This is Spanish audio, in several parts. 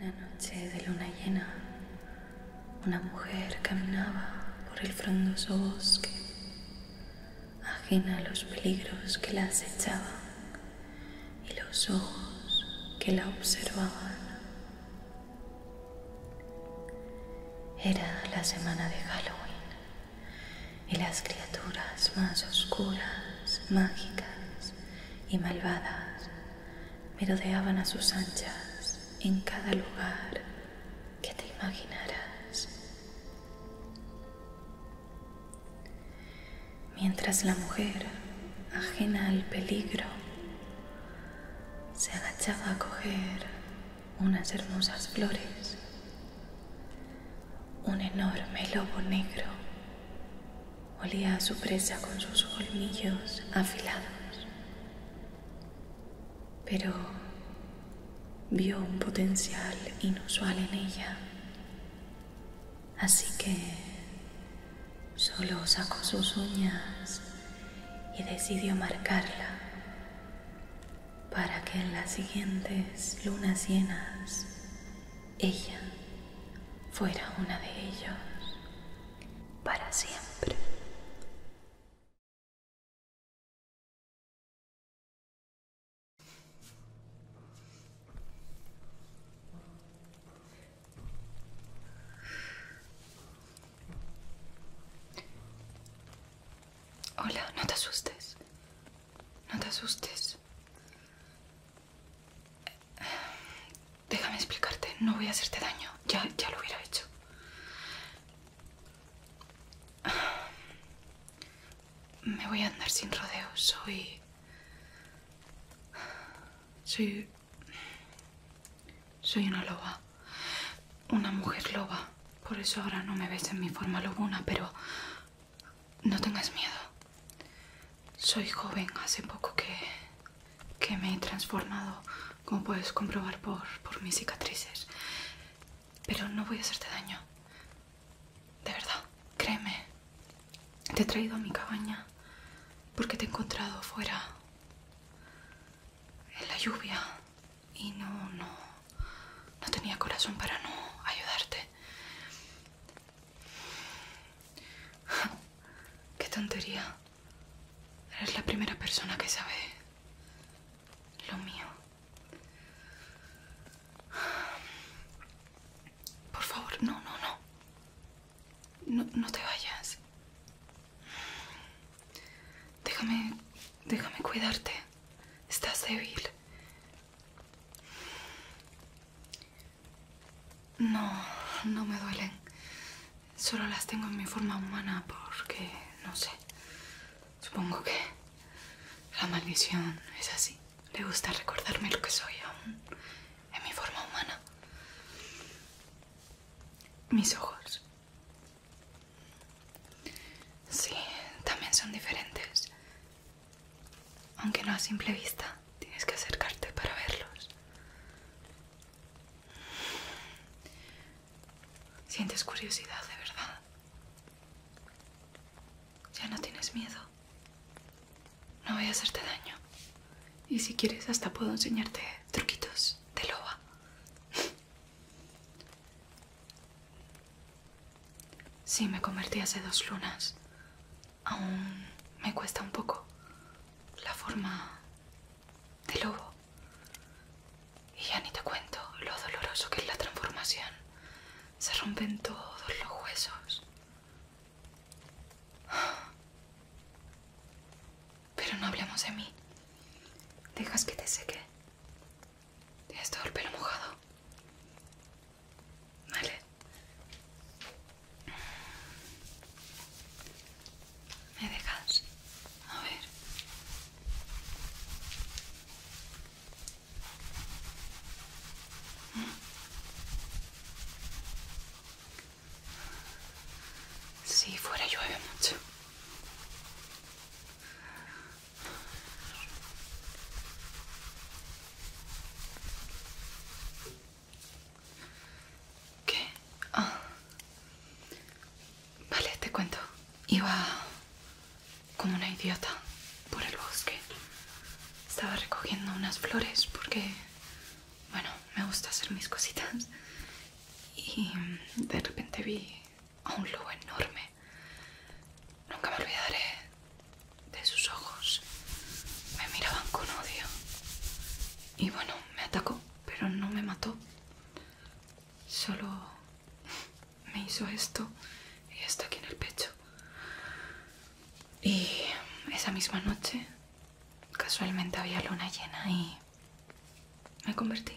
Una noche de luna llena, una mujer caminaba por el frondoso bosque, ajena a los peligros que la acechaban y los ojos que la observaban. Era la semana de Halloween y las criaturas más oscuras, mágicas y malvadas merodeaban a sus anchas en cada lugar que te imaginaras. Mientras la mujer, ajena al peligro, se agachaba a coger unas hermosas flores un enorme lobo negro olía a su presa con sus colmillos afilados, pero vio un potencial inusual en ella, así que solo sacó sus uñas y decidió marcarla para que en las siguientes lunas llenas ella fuera una de ellos para siempre. Hola, no te asustes. No te asustes. Déjame explicarte, no voy a hacerte daño. Ya, lo hubiera hecho. Me voy a andar sin rodeos. Soy... Soy... Soy una loba. Una mujer loba. Por eso ahora no me ves en mi forma lobuna, pero no tengas miedo. Soy joven, hace poco que, me he transformado, como puedes comprobar por, mis cicatrices. Pero no voy a hacerte daño. De verdad, créeme. Te he traído a mi cabaña porque te he encontrado fuera en la lluvia y no, no, no tenía corazón para no ayudarte. Qué tontería. Eres la primera persona que sabe lo mío. Por favor, no, no, no. No, te vayas. Déjame, déjame cuidarte. Estás débil. No, no me duelen. Solo las tengo en mi forma humana porque, no sé, supongo que la maldición es así. Le gusta recordarme lo que soy aún en mi forma humana. Mis ojos. Sí, también son diferentes. Aunque no a simple vista, tienes que acercarte para verlos. Sientes curiosidad, de verdad. Ya no tienes miedo. No voy a hacerte daño. Y si quieres, hasta puedo enseñarte truquitos de loba. Sí, me convertí hace dos lunas. Aún me cuesta un poco la forma de lobo. Y ya ni te cuento lo doloroso que es la transformación. Se rompen todos los huesos. Pero no hablemos de mí. Dejas que te seque. Tienes todo el pelo mojado. Vale. ¿Me dejas? A ver. Si fuera llueve mucho. ¿Qué? Ah. Vale, te cuento. Iba como una idiota por el bosque. Estaba recogiendo unas flores porque, bueno, me gusta hacer mis cositas. Y de repente vi a un lobo enorme Nunca me olvidaré de sus ojos. Me miraban con odio. Y bueno, me atacó, pero no me mató. Solo me hizo esto y esto aquí en el pecho. Y esa misma noche, casualmente había luna llena y me convertí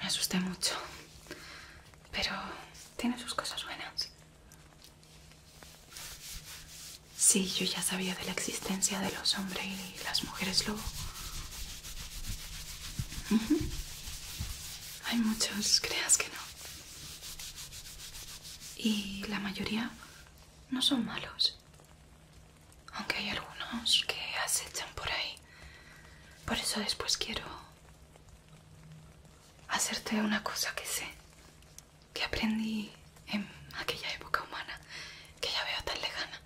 me asusté mucho, pero tiene sus cosas buenas. Sí, yo ya sabía de la existencia de los hombres y las mujeres lobo. Hay muchos, creas que no. Y la mayoría no son malos. Aunque hay algunos que acechan por ahí. Por eso después quiero hacerte una cosa que sé, que aprendí en aquella época humana que ya veo tan lejana,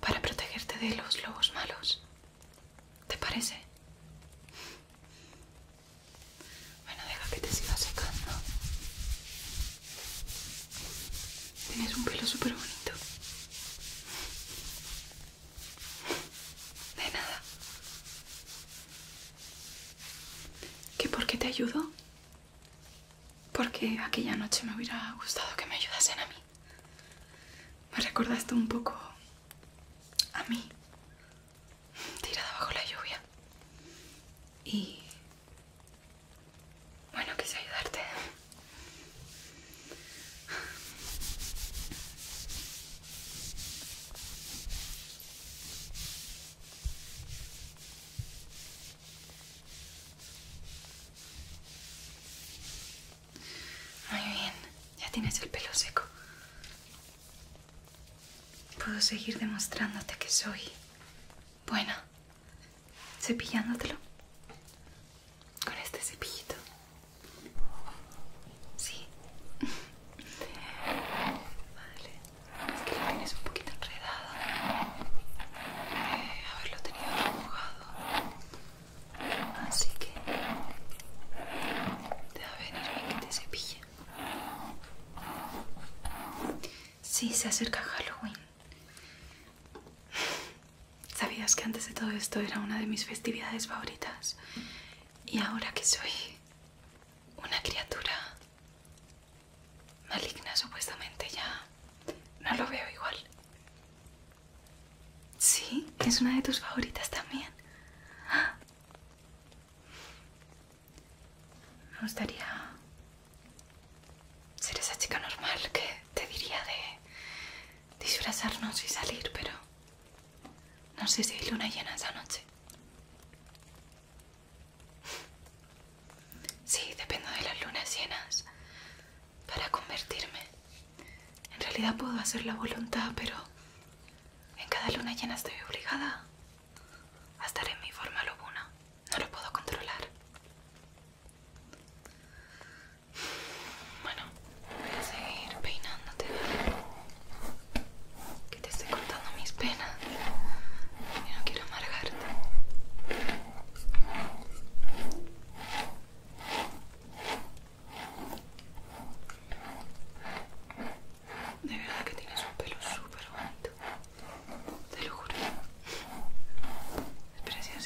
para protegerte de los lobos malos. ¿Te parece? Bueno, deja que te siga secando. Tienes un pelo súper bonito. De nada. ¿Que por qué te ayudo? Porque aquella noche me hubiera gustado que me ayudasen a mí. Me recordaste un poco a mí, tirada bajo la lluvia. Y bueno, quise ayudarte. Muy bien, ya tienes el pelo seco. Puedo seguir demostrándote que soy buena, cepillándotelo con este cepillito. Sí. Vale. Es que lo tienes un poquito enredado. haberlo eh, tenido mojado. Así que te va a venir bien que te cepille. Sí, se acerca Halloween. ¿Sabías que antes de todo esto era una de mis festividades favoritas? Y ahora que soy una criatura maligna supuestamente ya no lo veo igual. Sí, es una de tus favoritas también. Me gustaría ser esa chica normal que te diría de disfrazarnos y salir, pero no sé si hay luna llena esa noche. Sí, dependo de las lunas llenas para convertirme. En realidad puedo hacer la voluntad, pero en cada luna llena estoy obligada a estar en mi forma lobuna. No lo puedo controlar. Bueno, voy a seguir peinándote, Que te esté contando mis penas y no quiero amargarte. De verdad que tienes un pelo súper bonito, te lo juro. Es precioso.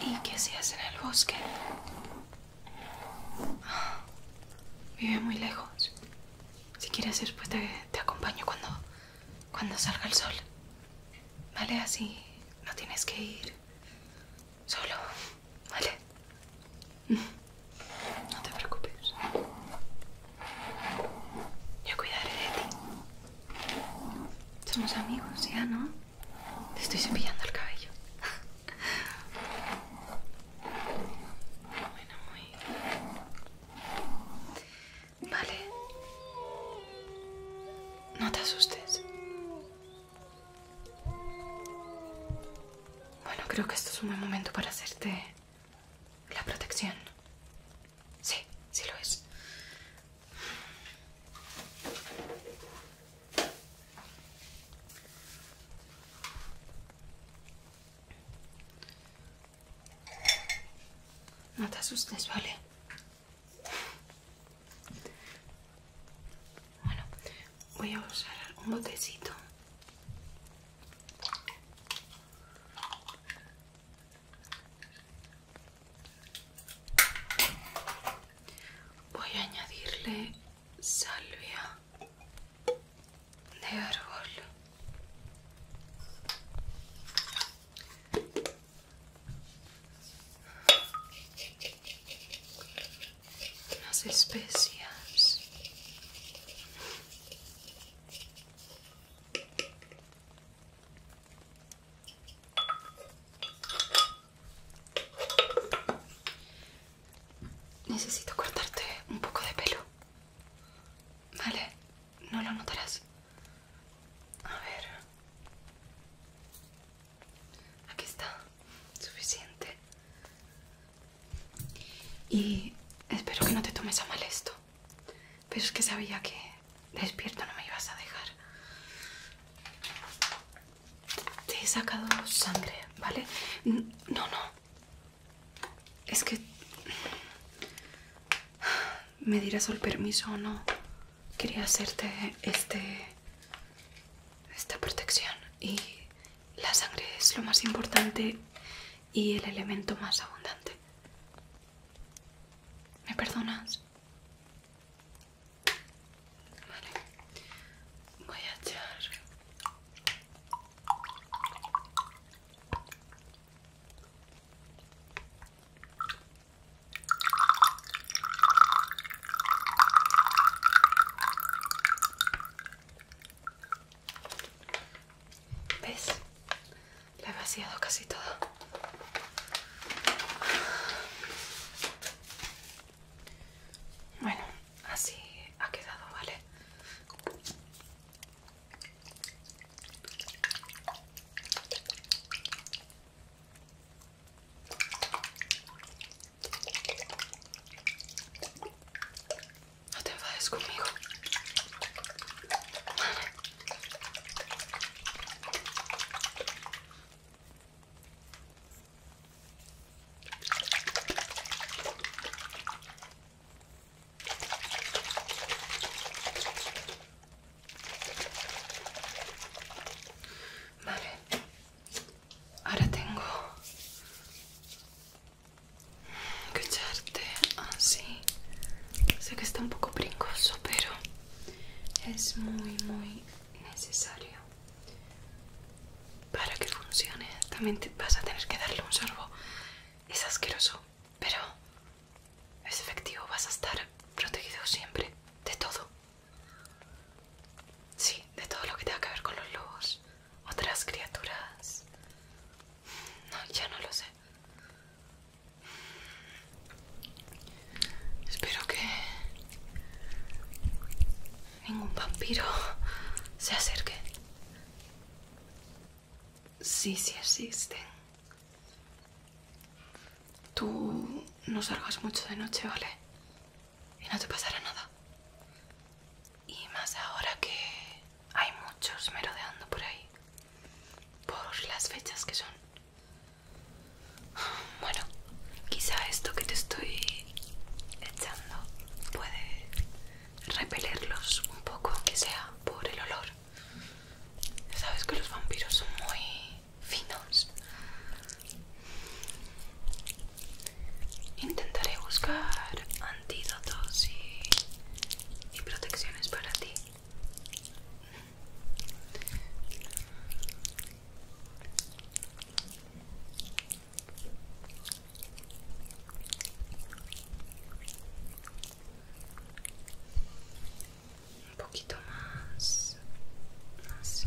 ¿Y qué hacías en el bosque? Vive muy lejos. Si quieres, ir, pues te acompaño cuando, cuando salga el sol. Vale, así no tienes que ir Solo, ¿vale? No te preocupes. Yo cuidaré de ti. Somos amigos, ¿ya no? Te estoy cepillando el cabello. Vale. No te asustes. Bueno, creo que esto es un buen momento para hacerte la protección. Sí, sí lo es. No te asustes, ¿vale? Bueno, voy a usar un botecito. Voy a añadirle salvia de árbol las especias necesito cortarte un poco de pelo vale no lo notarás a ver aquí está suficiente y espero que no te tomes a mal esto. Pero es que sabía que despierto no me ibas a dejar. Te he sacado sangre, ¿vale? No, no. Es que... Me dirás el permiso o no. Quería hacerte este... esta protección y la sangre es lo más importante y el elemento más abundante. ¿Me perdonas? Vale. Voy a echar... ¿Ves? La he vaciado casi todo. Bueno, así ha quedado, ¿vale? No te enfades conmigo. Vale, Ahora tengo que echarte así. Sé que está un poco brincoso, pero es muy, muy necesario para que funcione. También te vas a tener que darle un sorbo. Es asqueroso, pero es efectivo. Vas a estar protegido siempre de todo. Sí, de todo lo que tenga que ver con los lobos. Otras criaturas. No, ya no lo sé. Espero que ningún vampiro se acerque. Sí, sí existen. Tú no salgas mucho de noche, ¿vale? y no te pasará nada. Y más ahora que hay muchos merodeando por ahí, por las fechas que son. Bueno, quizá esto que te estoy echando puede repelerlos un poco, aunque sea por el olor. Sabes que los vampiros son muy finos. Intentaré buscar antídotos y, protecciones para ti. Un poquito más así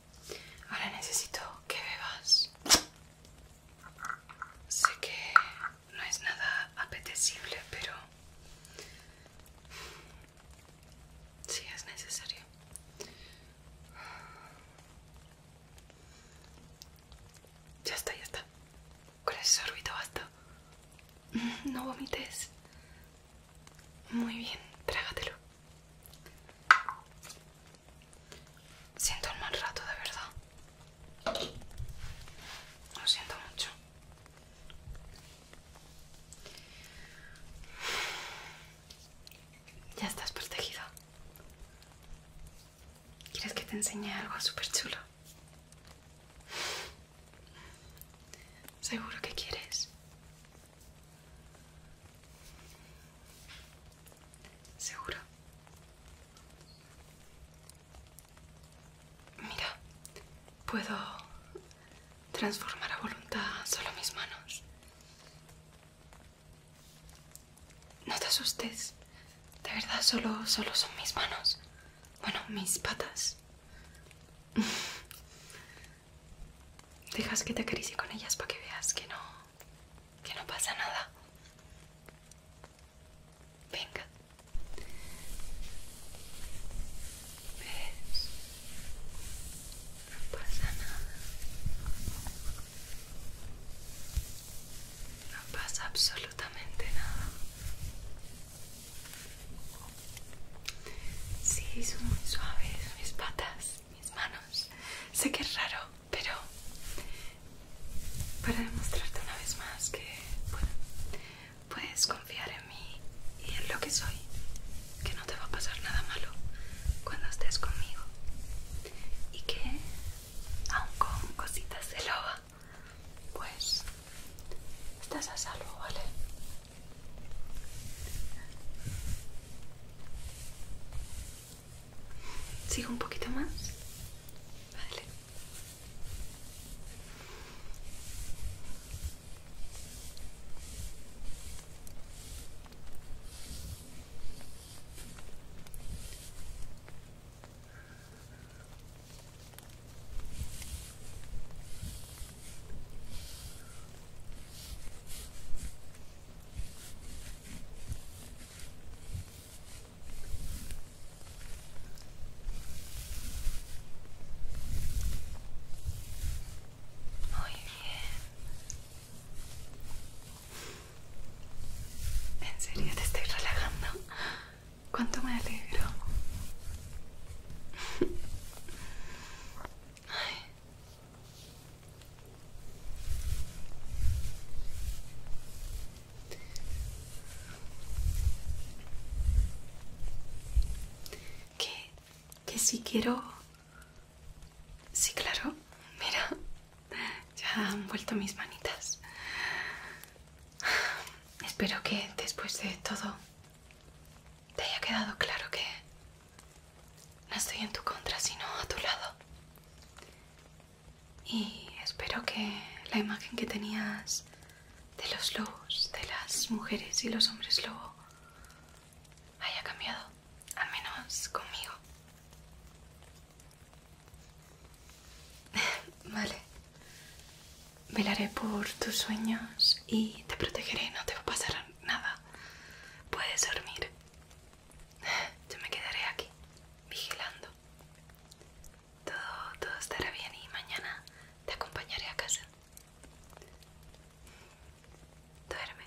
Ahora necesito que bebas. Sé que no es nada apetecible, pero sí es necesario. Ya está, ya está. Con ese sorbito basta. No vomites. Muy bien, trágatelo. Siento el mal rato, de verdad. Lo siento mucho. Ya estás protegido. ¿Quieres que te enseñe algo súper chulo? Seguro que quieres. ¿Seguro? Mira, puedo transformar a voluntad solo mis manos. No te asustes. De verdad, solo, solo son mis manos. Bueno, mis patas. Dejas que te acaricie con ellas para que veas que no que no pasa nada. Venga. ¿Ves? No pasa nada. No pasa absolutamente nada. Sí, son muy suaves mis patas, mis manos. Sé que es raro, pero para demostrarte una vez más que bueno, puedes confiar en mí y en lo que soy, que no te va a pasar nada malo cuando estés conmigo y que aun con cositas de loba, pues estás a salvo, ¿vale? Sigo un poquito más. Vale. Muy bien. ¿En serio te estoy relajando? ¿Cuánto me alegro? Que, si quiero... Sí, claro. Mira, ya han vuelto mis manitas. Espero que después de todo te haya quedado claro que no estoy en tu contra, sino a tu lado. Y espero que la imagen que tenías de los lobos, de las mujeres y los hombres lobo, haya cambiado, al menos conmigo. vale. Velaré por tus sueños y te protegeré, no te va a pasar nada. Puedes dormir. Yo me quedaré aquí, vigilando. Todo, todo estará bien y mañana te acompañaré a casa. Duerme.